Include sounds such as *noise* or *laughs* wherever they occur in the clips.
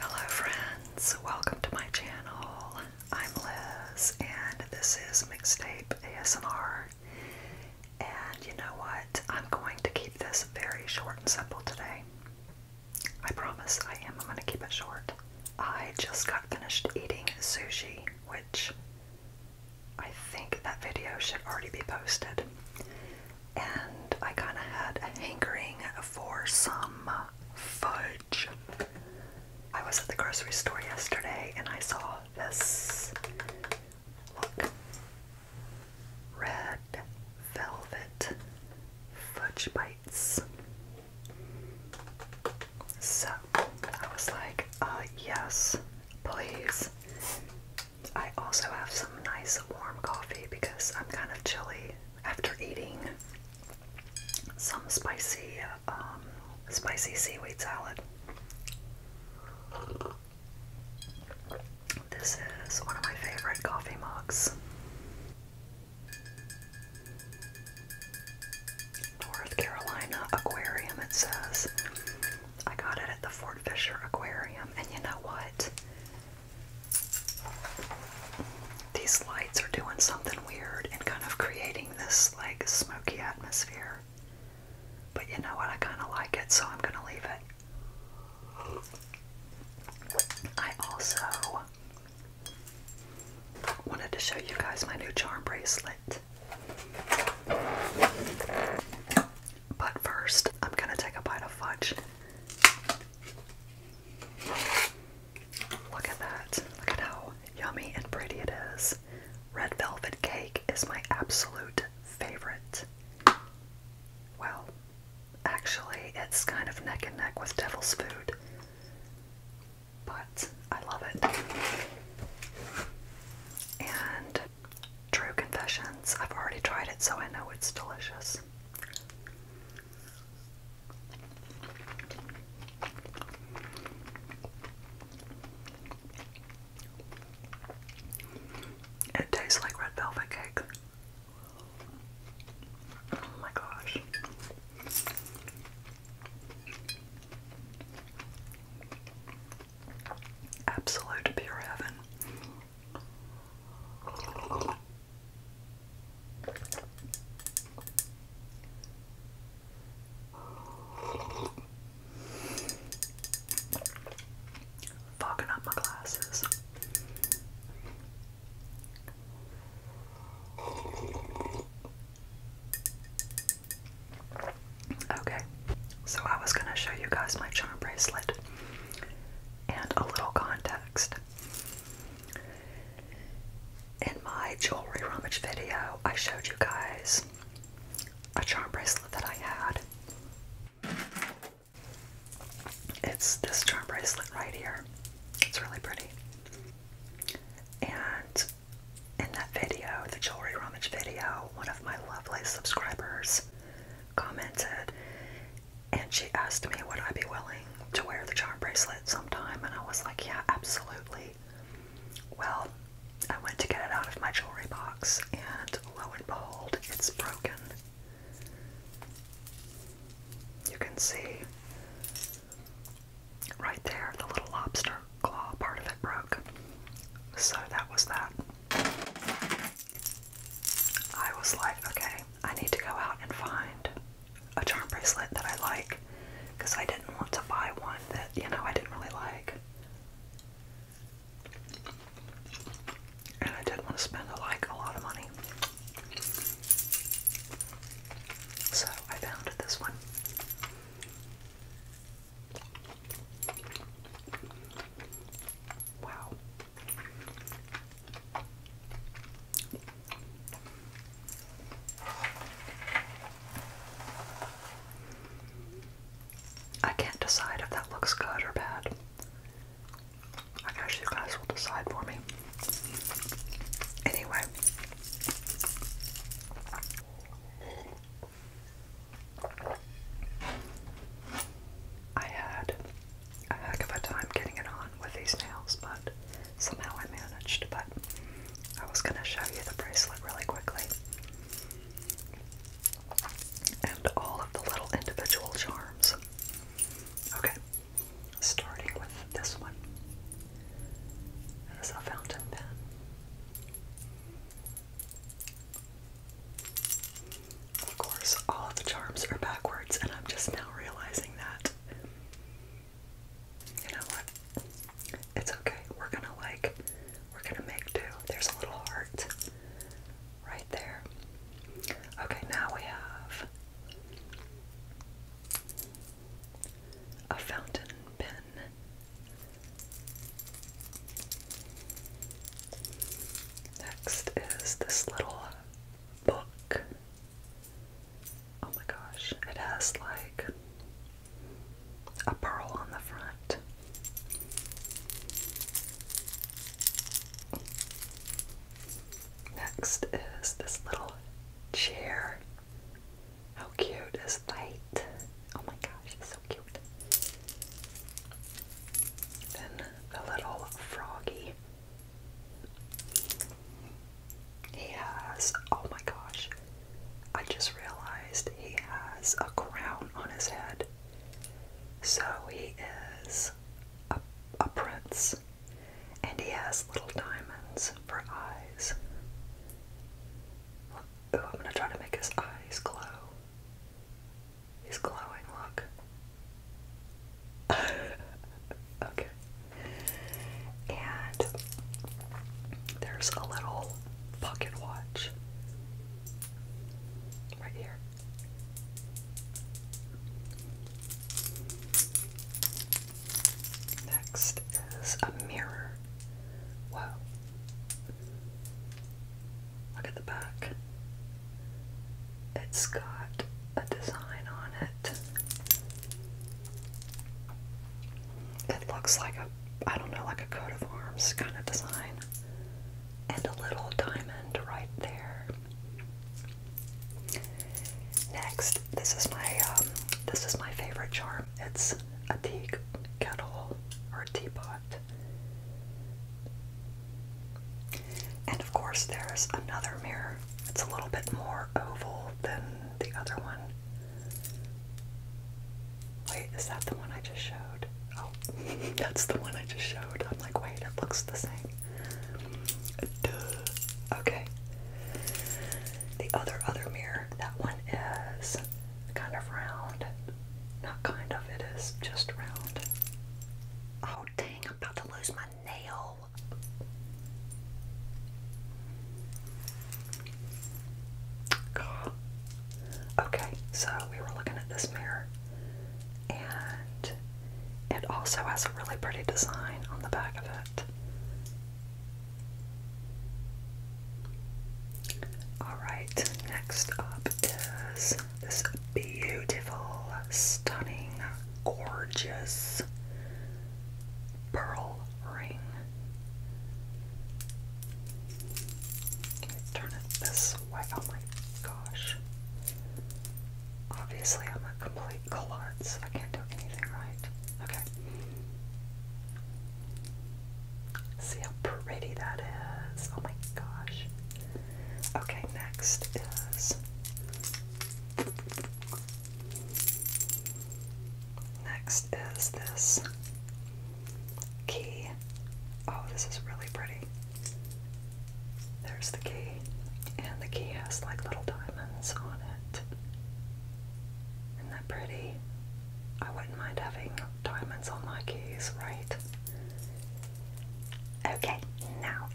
Hello, friends. Welcome to my channel. I'm Liz, and this is Mixtape ASMR. And you know what? I'm going to keep this very short and simple today. I promise I am. I'm going to keep it short. I just got finished eating sushi, which I think that video should already be posted and I kind of had a hankering for some uh, fudge. I was at the grocery store yesterday and I saw this. Look. Red velvet fudge bites. So I was like, uh, yes, please. I also have some nice warm coffee because I'm kind of chilly after eating some spicy um, spicy seaweed salad. This is one of my favorite coffee mugs. North Carolina Aquarium, it says. I got it at the Fort Fisher Aquarium, and you know what? These lights are doing something weird and kind of creating this like smoky atmosphere. But you know what? I kind of like it, so I'm going to leave it. I also wanted to show you guys my new charm bracelet. But first, I'm gonna take a bite of fudge. Look at that. Look at how yummy and pretty it is. Red velvet cake is my absolute favorite. Well, actually, it's kind of neck and neck with devil's food, but I love it. And true confessions, I've already tried it, so I know it's delicious. It tastes like red velvet cake. Oh my gosh. Absolute pure heaven. Fogging up my glasses. Okay, so I was gonna show you guys my charm bracelet and a little context. In my jewelry rummage video, I showed you guys a charm bracelet that I had. It's this charm bracelet right here. It's really pretty. And in that video, the jewelry rummage video, one of my lovely subscribers commented and she asked me would I be willing to wear the charm bracelet sometime and I was like yeah absolutely well I went to get it out of my jewelry box and lo and behold it's broken you can see right there the little lobster claw part of it broke so that was that I was like, okay, I need to go out and find a charm bracelet that I like because I didn't want to buy one that, you know, I didn't really like. And I didn't want to spend like a lot of money. So I found this one. Wow. I can't decide if that looks good or bad. I guess you guys will decide for me. Anyway. I had a heck of a time getting it on with these nails, but somehow I managed. But I was going to show you the bracelet really quickly. And all of the little individual charms. Okay, starting with this one. is a fountain pen. Of course, all of the charms are backwards, and I'm just now realizing that. You know what? It's okay. We're gonna like, we're gonna make do. There's a little heart right there. Okay, now we have a fountain pen Next is this little book. Oh my gosh, it has like a pearl on the front. Next is this little chair. How cute is that? Oh my gosh, so cute. Then the little froggy. He has, oh my gosh, I just realized he has a crown on his head. So he is a, a prince, and he has little diamonds for eyes. Ooh, I'm gonna try to make his eyes glow his glowing look. *laughs* okay. And there's a little pocket watch right here. Next is a mirror. Wow. Look at the back. It's got a design on it. It looks like a, I don't know, like a coat of arms kind of design. And a little diamond right there. Next, this is my um, this is my favorite charm. It's a tea kettle or a teapot. And of course, there's another mirror. It's a little bit more oval than the other one. Wait, is that the one I just showed? Oh, *laughs* that's the one I just showed. I'm like, wait, it looks the same. Okay. The other, other mirror, that one is kind of round. Not kind of, it is just round. Oh dang, I'm about to lose my nail. Okay, so we were looking at this mirror and it also has a really pretty design on the back of it. Alright, next up is this beautiful, stunning, gorgeous pearl ring. turn it this way. Oh my gosh. Obviously, I'm a complete klutz. I can't do anything right. Okay. See how pretty that is. Oh my gosh. Okay, next is next is this key. Oh, this is really pretty. There's the key. And the key has like little diamonds on it. Isn't that pretty? I wouldn't mind having diamonds on my keys, right? Okay, now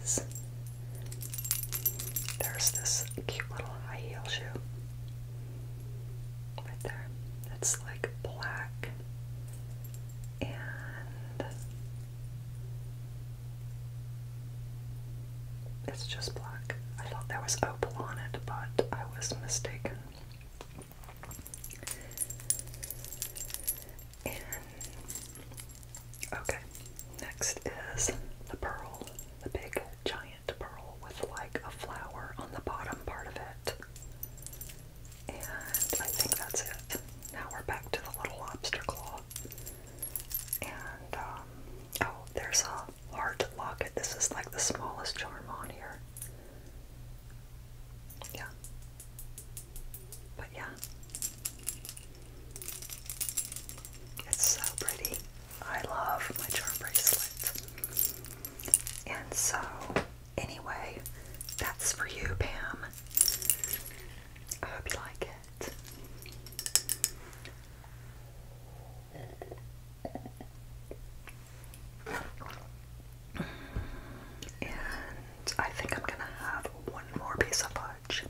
is there's this cute little high heel shoe right there. It's like black and it's just black. I thought there was opal on it, but I was mistaken. And okay, next is the pearl, the big giant pearl with like a flower on the bottom part of it. And I think that's it. Now we're back to the little lobster claw. And um, oh, there's a large locket. This is like the smallest charm on here. Yeah. But yeah. It's so pretty. I love my charm bracelet. And so, anyway, that's for you, Pam. I hope you like it. And I think I'm gonna have one more piece of fudge.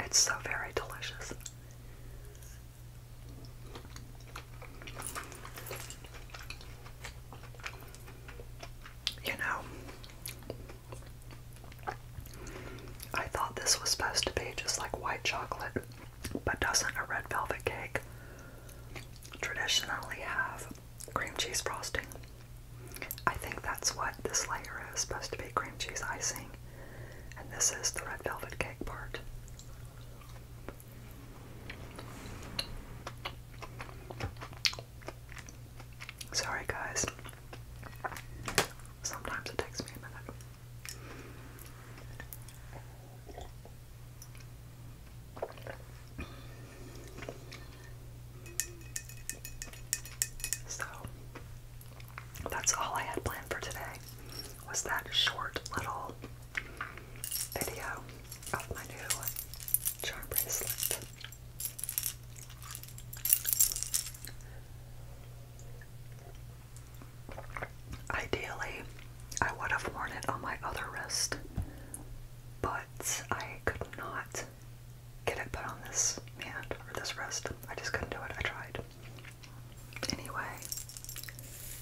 It's so very delicious. You know, I thought this was supposed to be just like white chocolate, but doesn't a red velvet cake traditionally have cream cheese frosting? I think that's what this layer is supposed to be cream cheese icing. And this is the red velvet cake part. Sorry, guys. Sometimes it takes me a minute. So, that's all I had planned for today was that short little video of my new charm bracelet. Ideally, I would have worn it on my other wrist, but I could not get it put on this hand or this wrist. I just couldn't do it. I tried. Anyway,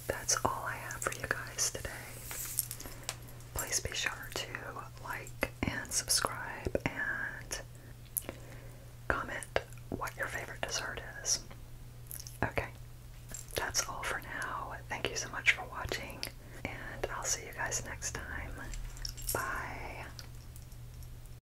that's all I have for you guys today. Please be sure to like and subscribe and comment what your favorite dessert is. Okay, that's all for now. Thank you so much for watching, and I'll see you guys next time. Bye.